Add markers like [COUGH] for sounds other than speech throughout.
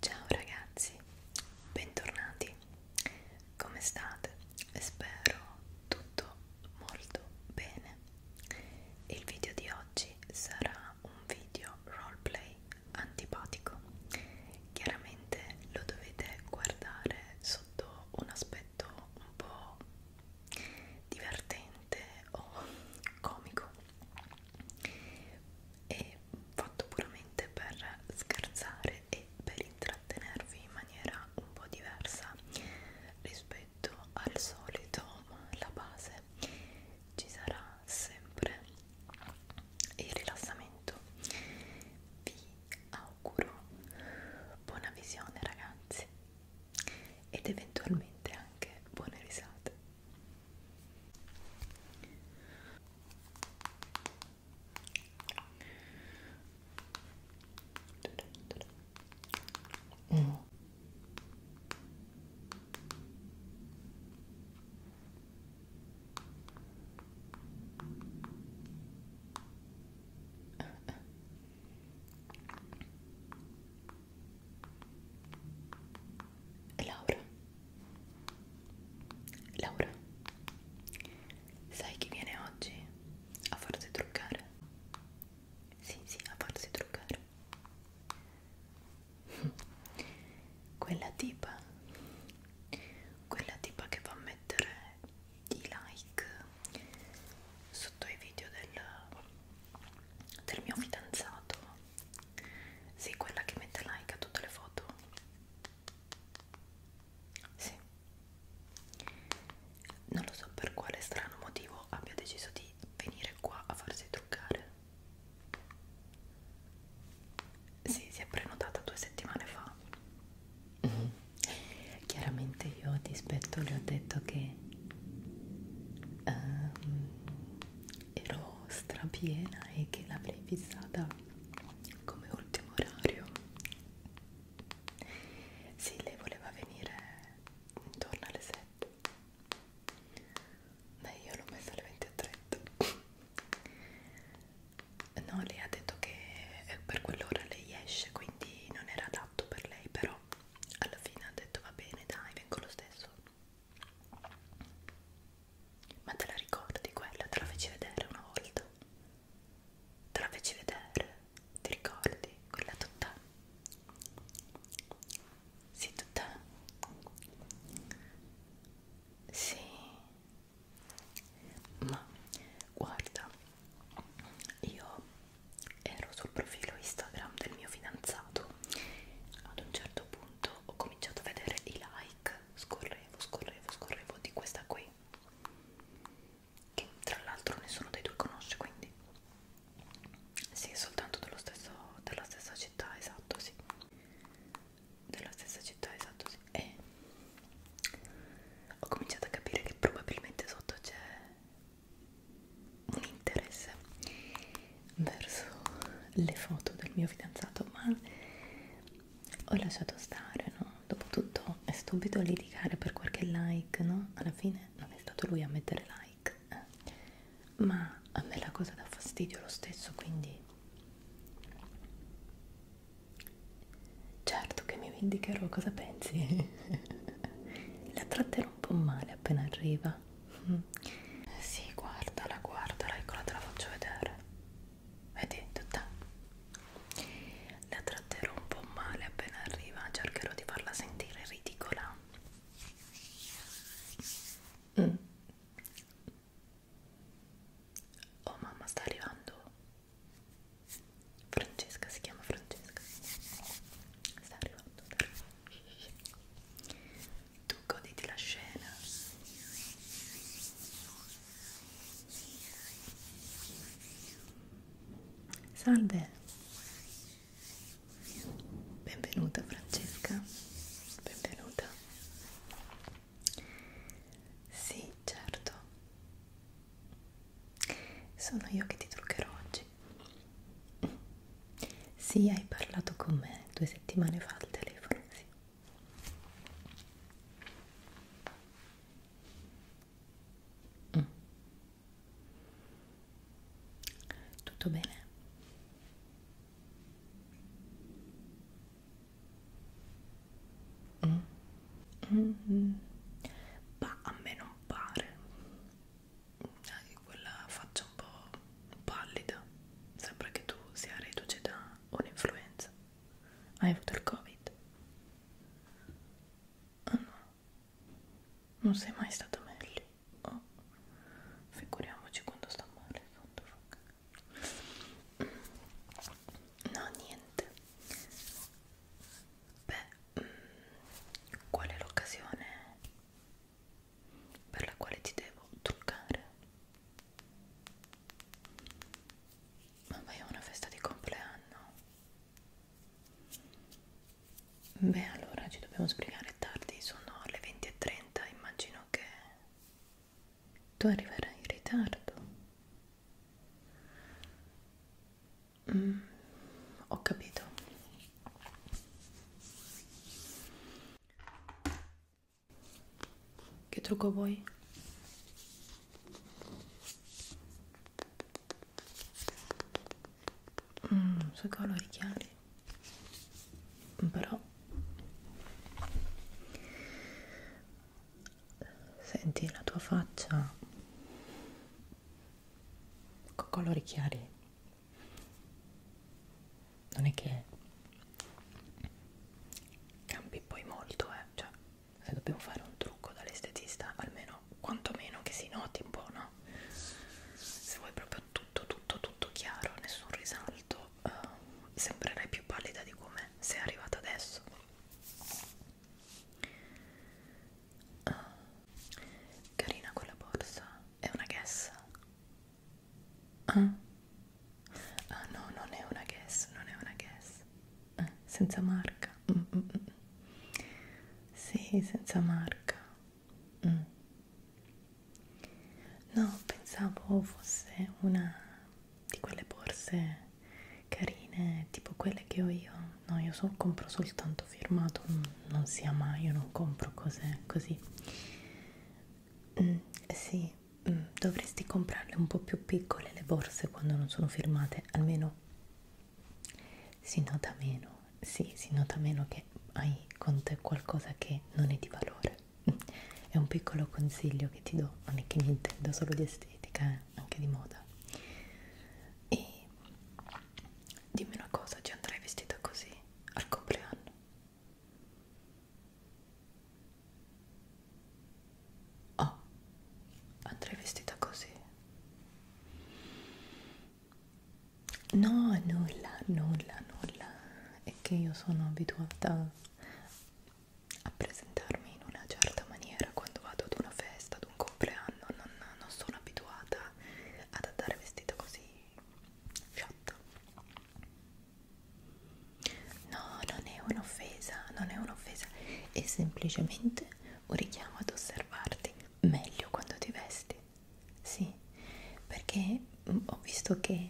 Ciao ragazzi, bentornati. Come state? Spero tutto molto bene. Il video di oggi sarà un video roleplay antipatico. Chiaramente lo dovete guardare sotto un aspetto un po' divertente o comico e fatto puramente per scherzare e per intrattenervi in maniera un po' diversa rispetto al solito, ma la base male ci sarà sempre il rilassamento vi auguro buona visione ragazzi ed eventualmente anche buone risate Mm. Laura Laura Sai chi viene oggi? A farsi truccare? Sì, sì, a farsi truccare quella tipa quella tipa che va a mettere i like sotto i video del, del mio fidanzato sì, quella che mette like a tutte le foto sì non lo so per quale strano motivo abbia deciso di venire qua a farsi truccare sì, si è prenotata due settimane fa. Mm. Chiaramente io a dispetto le ho detto che um, ero strapiena e che l'avrei fissata come ultimo orario. Sì, lei voleva venire intorno alle 7. Beh, io l'ho messa alle 20.30. No, lei ha detto che per quell'ora lei esce, quindi non era adatto per lei, però alla fine ha detto va bene, dai, vengo lo stesso. Ma te la ricordi quella? Te la feci vedere una volta? Te la feci vedere? Ti ricordi? Quella tutta? Sì, tutta? Sì, ma guarda, io ero sul profilo Instagram del mio fidanzato, ad un certo punto ho cominciato a vedere i like, scorrevo, scorrevo, scorrevo di questa qui, che tra l'altro nessuno dei due conosce, quindi sì, soltanto dello stesso, della stessa città, esatto, sì della stessa città, esatto, sì. E ho cominciato a capire che probabilmente sotto c'è un interesse verso le foto del mio fidanzato, ma ho lasciato stare, no? Dopotutto è stupido litigare per qualche like, no? Alla fine non è stato lui a mettere like, eh ma a me la cosa dà fastidio lo stesso, quindi certo che mi vendicherò, cosa pensi? [LAUGHS] la tratterò un po' male appena arriva. Sì, guardala, guardala, eccola, te la faccio vedere. Vedi, tutta. La tratterò un po' male appena arriva, cercherò di farla sentire ridicola. Mm. Oh mamma sta arrivando Francesca, si chiama Francesca Sta arrivando, sta arrivando Tu goditi la scena Salve Benvenuta Francesca Benvenuta sì, certo. Sono io che ti truccherò oggi. Sì, hai parlato con me due settimane fa al telefono, sì. Mm. Tutto bene? Mm. Mm. Bah, a me non pare anche quella faccia un po' pallida sembra che tu sia reduce da un'influenza hai avuto il covid? ah oh, no non sei mai stata meglio oh. figuriamoci quando sta male quando fa no niente beh mm, qual è l'occasione per la quale ti devo truccare ma vai a una festa di compleanno beh allora ci dobbiamo sbrigare tardi sono le 20.30 immagino che tu arriverai in ritardo. Mm, ho capito. Che trucco vuoi? Mm, sui colori chiari però senti la tua faccia con colori chiari non è che cambi poi molto eh cioè se dobbiamo fare un trucco dall'estetista almeno quantomeno che si noti un po' no se vuoi proprio tutto tutto tutto chiaro nessun risalto uh, eh, sembrerei più pallida di come sei arrivata adesso uh, carina quella borsa è una guess ah. ah no non è una guess non è una guess ah, senza marca mm mm, mm -mm. sì senza marca mm. No, pensavo fosse una di quelle borse carine, tipo quelle che ho io. No, io so, compro soltanto firmato, mm, non sia mai, io non compro cose così. Mm, sì, mm, dovresti comprarle un po' più piccole le borse quando non sono firmate, almeno si nota meno, sì, si nota meno che hai con te qualcosa che non è di valore è un piccolo consiglio che ti do, non è che mi intendo solo di estetica, eh? anche di moda. E dimmi una cosa, ci andrai vestita così al compleanno? Oh, andrai vestita così? No, nulla, nulla, nulla. È che io sono abituata a presentarmi in una certa maniera quando vado ad una festa, ad un compleanno, non, non sono abituata ad andare vestita così fiotta. No, non è un'offesa, non è un'offesa, è semplicemente un richiamo ad osservarti meglio quando ti vesti, sì, perché ho visto che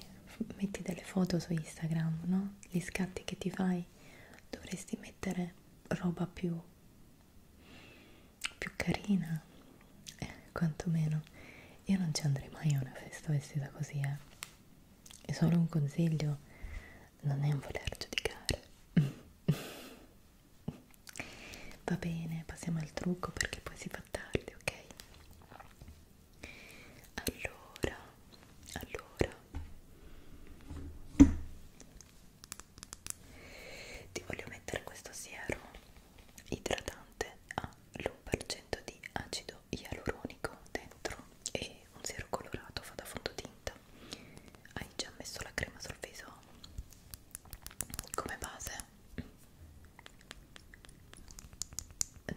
metti delle foto su Instagram, no? Gli scatti che ti fai dovresti mettere roba più, più carina, eh, quantomeno. Io non ci andrei mai a una festa vestita così, eh. È solo un consiglio, non è un voler giudicare. [LAUGHS] Va bene, passiamo al trucco perché poi si fa tardi, ok? allora allora ti voglio mettere questo siero idratante all'1% di acido ialuronico dentro e un siero colorato fa da fondotinta hai già messo la crema sul viso come base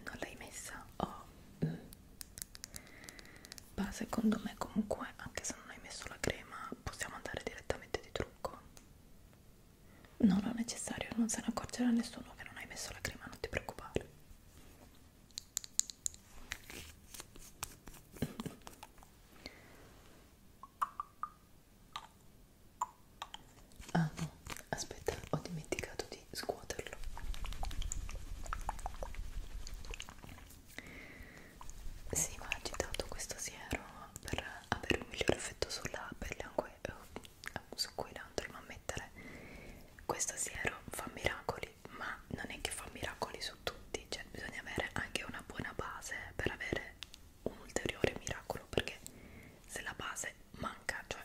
non l'hai messa oh. mm. ma secondo me comunque anche se non hai messo la crema possiamo andare direttamente di trucco no, non è necessario non se ne accorgerà nessuno che non hai messo la crema non ti preoccupare mm. Ah no, aspetta, ho dimenticato di scuoterlo. Sì, ma ha agitato questo siero per avere un migliore effetto sulla pelle eh, um, su cui andremo a mettere. Questo siero fa miracoli, ma non è che fa miracoli su tutti, cioè bisogna avere anche una buona base per avere un ulteriore miracolo perché se la base manca, cioè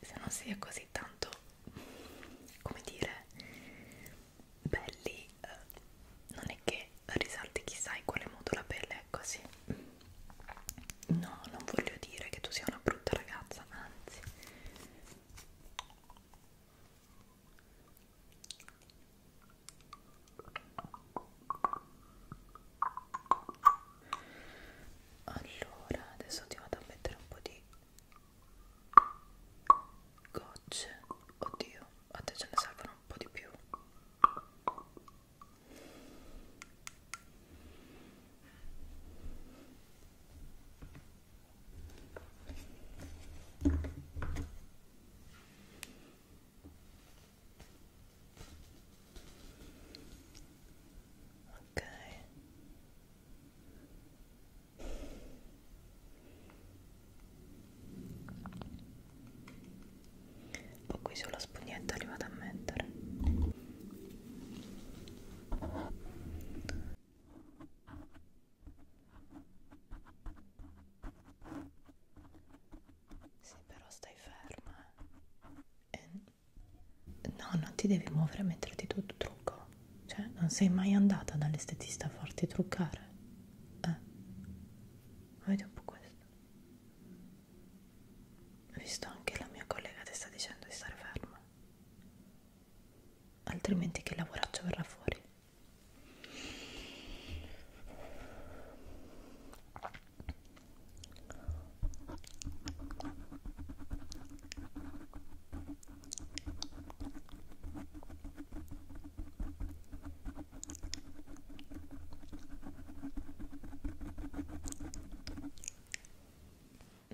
se non si è così tanto, come dire, belli, eh, non è che risalti chissà in quale modo la pelle è così. Ecco, no, non voglio dire che tu sia una brutta ragazza, anzi allora adesso ti vado a mettere un po' di gocce oddio a te ce ne servono un po' di più ok ho qui sulla spugnetta li vado a mettere sì però stai ferma eh? e no, non ti devi muovere mentre ti tu trucco, cioè non sei mai andata dall'estetista a farti truccare, eh? Vedi un po' questo. Visto anche la mia collega ti sta dicendo di stare ferma, altrimenti che lavoraccio verrà fuori.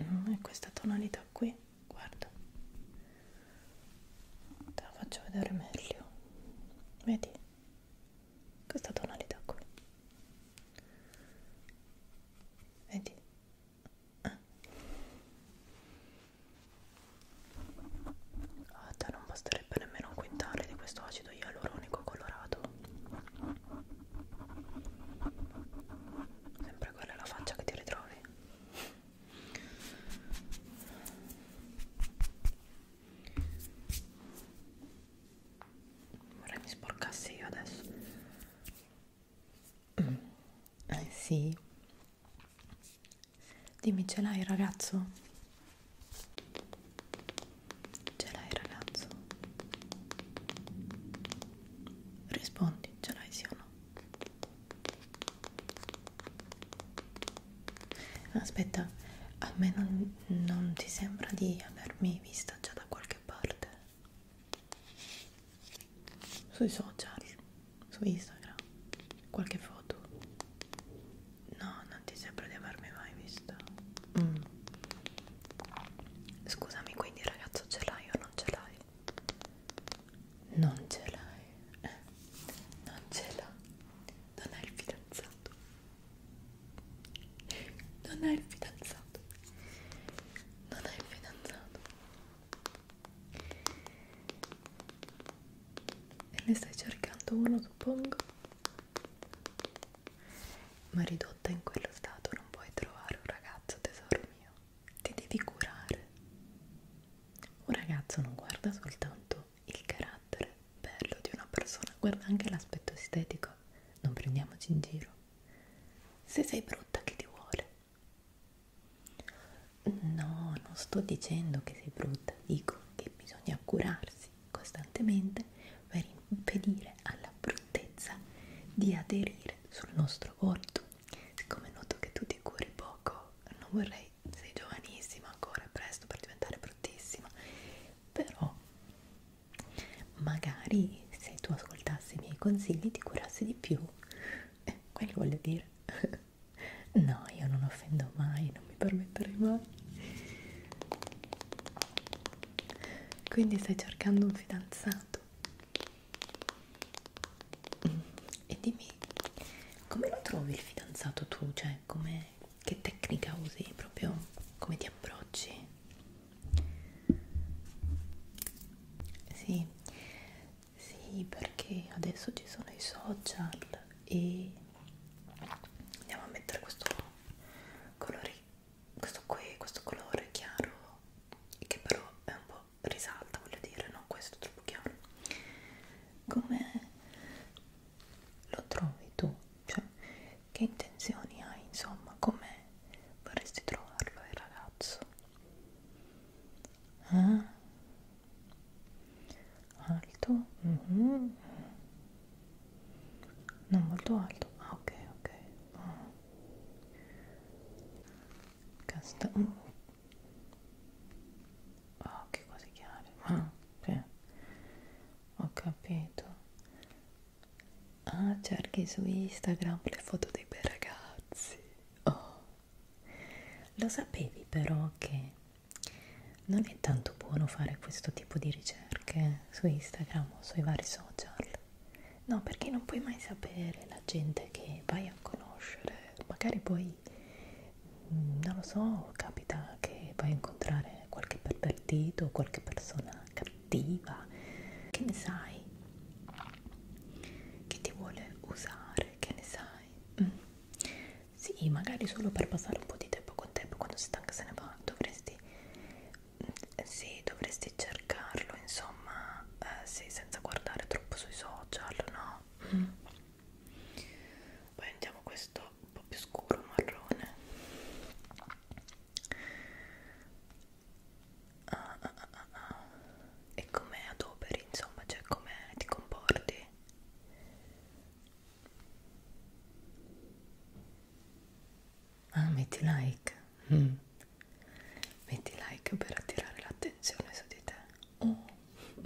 Mm, è questa tonalità qui guarda te la faccio vedere meglio vedi questa tonalità qui Vedi? Ah. Guarda, ah, non basterebbe nemmeno un quintale di questo acido ialuronico colorato. Sempre quella è la faccia che ti ritrovi vorrei mi sporcassi io adesso mm. [CLEARS THROAT] eh, sì dimmi ce l'hai ragazzo ce l'hai ragazzo rispondi ce l'hai sì o no Aspetta, a me non, non ti sembra di avermi vista già da qualche parte? sui social, su Instagram, qualche foto. No, non ti sembra di avermi mai vista. Mm. Scusami, quindi ragazzo ce l'hai o non ce l'hai? Non ce l'hai. Eh, non ce l'ha. Non hai il fidanzato non è il fidanzato non è il fidanzato e ne stai cercando uno suppongo ma ridotta in quello stato non puoi trovare un ragazzo tesoro mio ti devi curare un ragazzo non guarda soltanto il carattere bello di una persona guarda anche l'aspetto estetico non prendiamoci in giro se sei brutta chi ti vuole? No, non sto dicendo che sei brutta, dico che bisogna curarsi costantemente per impedire alla bruttezza di aderire sul nostro volto. Siccome noto che tu ti curi poco, non vorrei, sei giovanissima ancora, presto per diventare bruttissima, però magari se tu ascoltassi i miei consigli ti curassi di più eh, quello voglio dire [LAUGHS] no io non offendo mai non mi permetterei mai quindi stai cercando un fidanzato e dimmi come lo trovi il fidanzato tu cioè come che tecnica usi proprio come ti approcci sì, sì, perché adesso ci sono i social e andiamo a mettere questo colore, questo qui, questo colore chiaro che però è un po' risalta, voglio dire, non questo troppo chiaro. Come lo trovi tu? Cioè cioè, che intenzioni hai, insomma, come vorresti trovarlo il ragazzo? Ah. Alto? Mm -hmm. Non molto alto? Ah, ok, ok. Oh. Casta... Mm. Oh, che cose chiare. Ah, sì. Ho capito. Ah, cerchi su Instagram le foto dei bei ragazzi. Oh. Lo sapevi però che non è tanto buono fare questo tipo di ricerche su Instagram o sui vari social? No, perché non puoi mai sapere la gente che vai a conoscere. Magari poi, mm, non lo so, capita che vai a incontrare qualche pervertito o qualche persona cattiva, che ne sai? Che ti vuole usare, che ne sai? Mm. Sì, magari solo per passare un po' di tempo con te, quando sei stanca se ne va, dovresti, mm, sì, dovresti cercarlo, insomma, eh, sì, senza guardare troppo sui social, no? Mm. Poi andiamo questo un po' più scuro, marrone Ah, ah, ah, ah, ah. E come adoperi, insomma, cioè come ti comporti? Ah, metti like. Mm. Metti like per attirare l'attenzione su di te. Oh.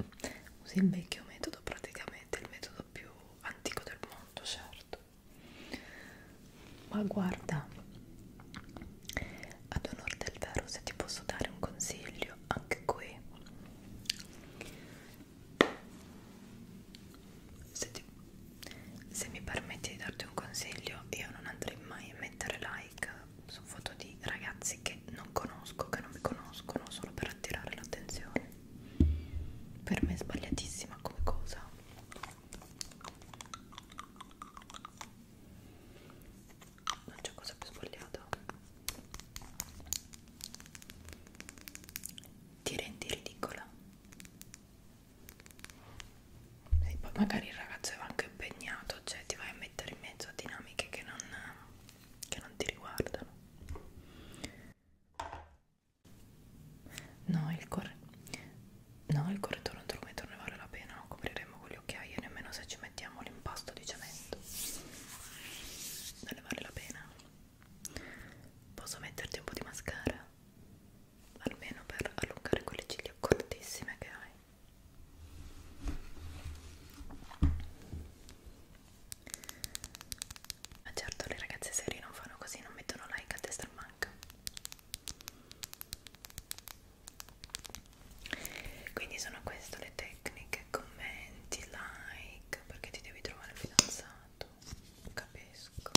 [LAUGHS] Usi il vecchio metodo, praticamente il metodo più antico del mondo, certo. Ma guarda, ad onore del vero, se ti posso dare un consiglio, anche qui, se, ti, se mi permetti di darti un consiglio, io non andrei mai a mettere like su foto di ragazzi che non conosco, che non mi conoscono, solo per attirare l'attenzione. Per me è sbagliatissima come cosa non c'è cosa più sbagliata ti rendi ridicola e poi magari il ragazzo è anche impegnato cioè ti vai a mettere in mezzo a dinamiche che non, che non ti riguardano No, il corre... No, il correttore non dormito ne vale la pena, non copriremo con gli occhiaie nemmeno se ci mettiamo l'impasto di cemento. Non ne vale la pena. Posso metterti un po' di mascara? Almeno per allungare quelle ciglia cortissime che hai. Ma certo le ragazze serie non fanno così, non mettono like a testa al manca. Quindi sono queste le tecniche, commenti, like, perché ti devi trovare il fidanzato, capisco.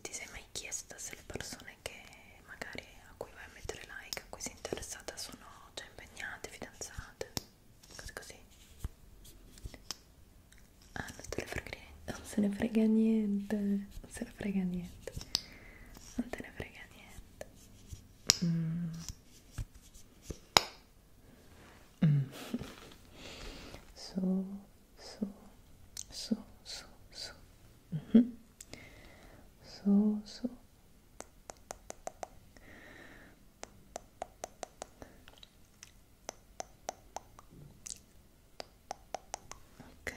Ti sei mai chiesta se le persone che magari a cui vai a mettere like, a cui sei interessata sono già cioè, impegnate, fidanzate, cose così? Ah, non te ne frega niente, non se ne frega niente, non se ne frega niente, non te ne frega niente. Mm. Mm. Su, su, su, su, su. Mm -hmm. Su, su ok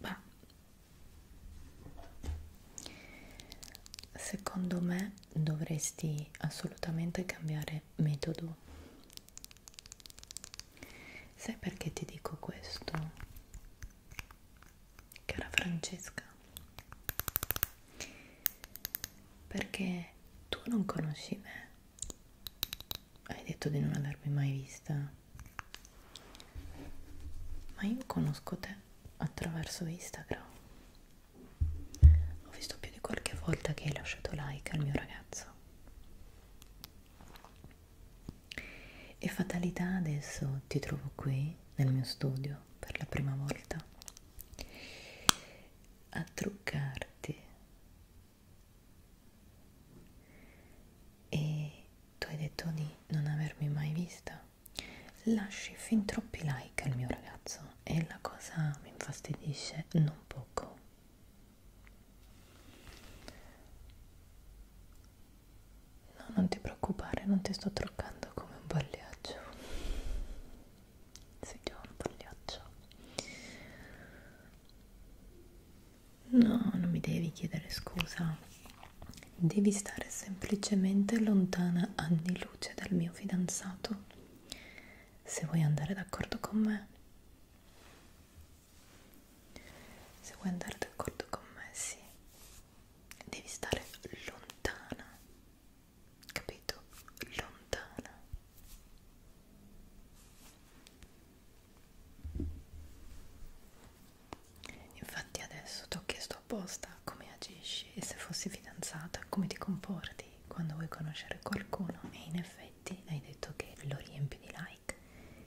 Beh. secondo me dovresti assolutamente cambiare metodo sai perché ti dico questo cara Francesca, perché tu non conosci me. Hai detto di non avermi mai vista, ma io conosco te attraverso Instagram. Ho visto più di qualche volta che hai lasciato like al mio ragazzo. E fatalità adesso ti trovo qui nel mio studio Milano per la prima volta a truccarti e tu hai detto di non avermi mai vista lasci fin troppi like al mio ragazzo e la cosa mi infastidisce non poco No, non ti preoccupare, non ti sto truccando come un pagliaccio. Sei già un pagliaccio. No, non mi devi chiedere scusa. Devi stare semplicemente lontana anni luce dal mio fidanzato. Se vuoi andare d'accordo con me. Se vuoi andare d'accordo con me, sì devi stare lontana, capito? Lontana. Infatti adesso ti ho chiesto apposta come agisci e se fossi fidanzata come ti comporti quando vuoi conoscere qualcuno e in effetti hai detto che lo riempi di like.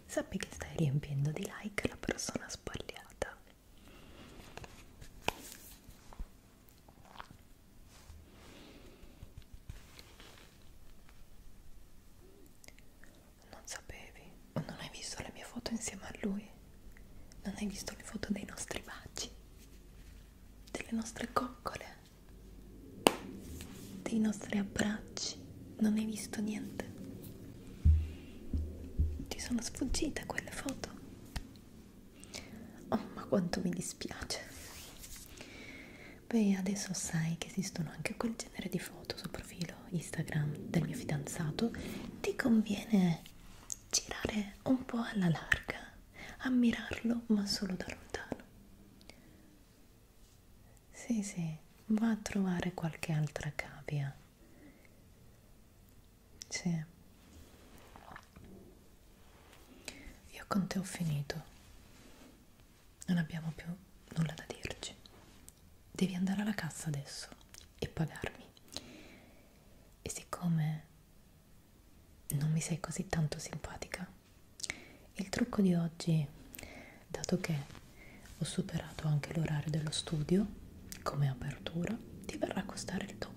Sappi che stai riempiendo di like la persona sbagliata non sapevi? Ma non hai visto le mie foto insieme a lui? Non hai visto le foto dei nostri baci? Delle nostre coccole? Dei nostri abbracci? Non hai visto niente? Ti sono sfuggite quelle foto? Oh, ma quanto mi dispiace. Beh, adesso sai che esistono anche quel genere di foto sul profilo Instagram del mio fidanzato. Ti conviene girare un po' alla larga, ammirarlo, ma solo da lontano. Sì, sì, va a trovare qualche altra cavia. Sì. Io con te ho finito. Non abbiamo più nulla da dirci. Devi andare alla cassa adesso e pagarmi. E siccome non mi sei così tanto simpatica, il trucco di oggi, dato che ho superato anche l'orario dello studio, come apertura ti verrà a costare il doppio.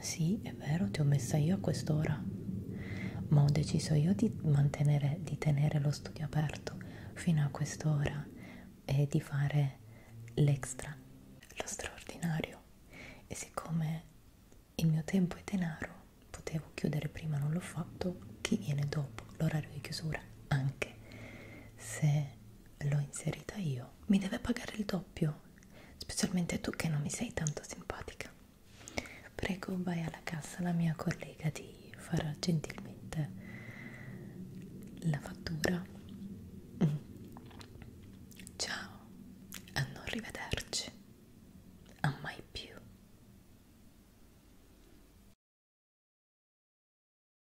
Sì, è vero, ti ho messa io a quest'ora, ma ho deciso io di mantenere, di tenere lo studio aperto fino a quest'ora e di fare l'extra, lo straordinario. E siccome il mio tempo è denaro, potevo chiudere prima, non l'ho fatto, chi viene dopo l'orario di chiusura, anche se l'ho inserita io, mi deve pagare il doppio, specialmente tu che non mi sei tanto simpatica. Prego, vai alla cassa, la mia collega ti farà gentilmente la fattura. Mm. Ciao, a non rivederci, a mai più.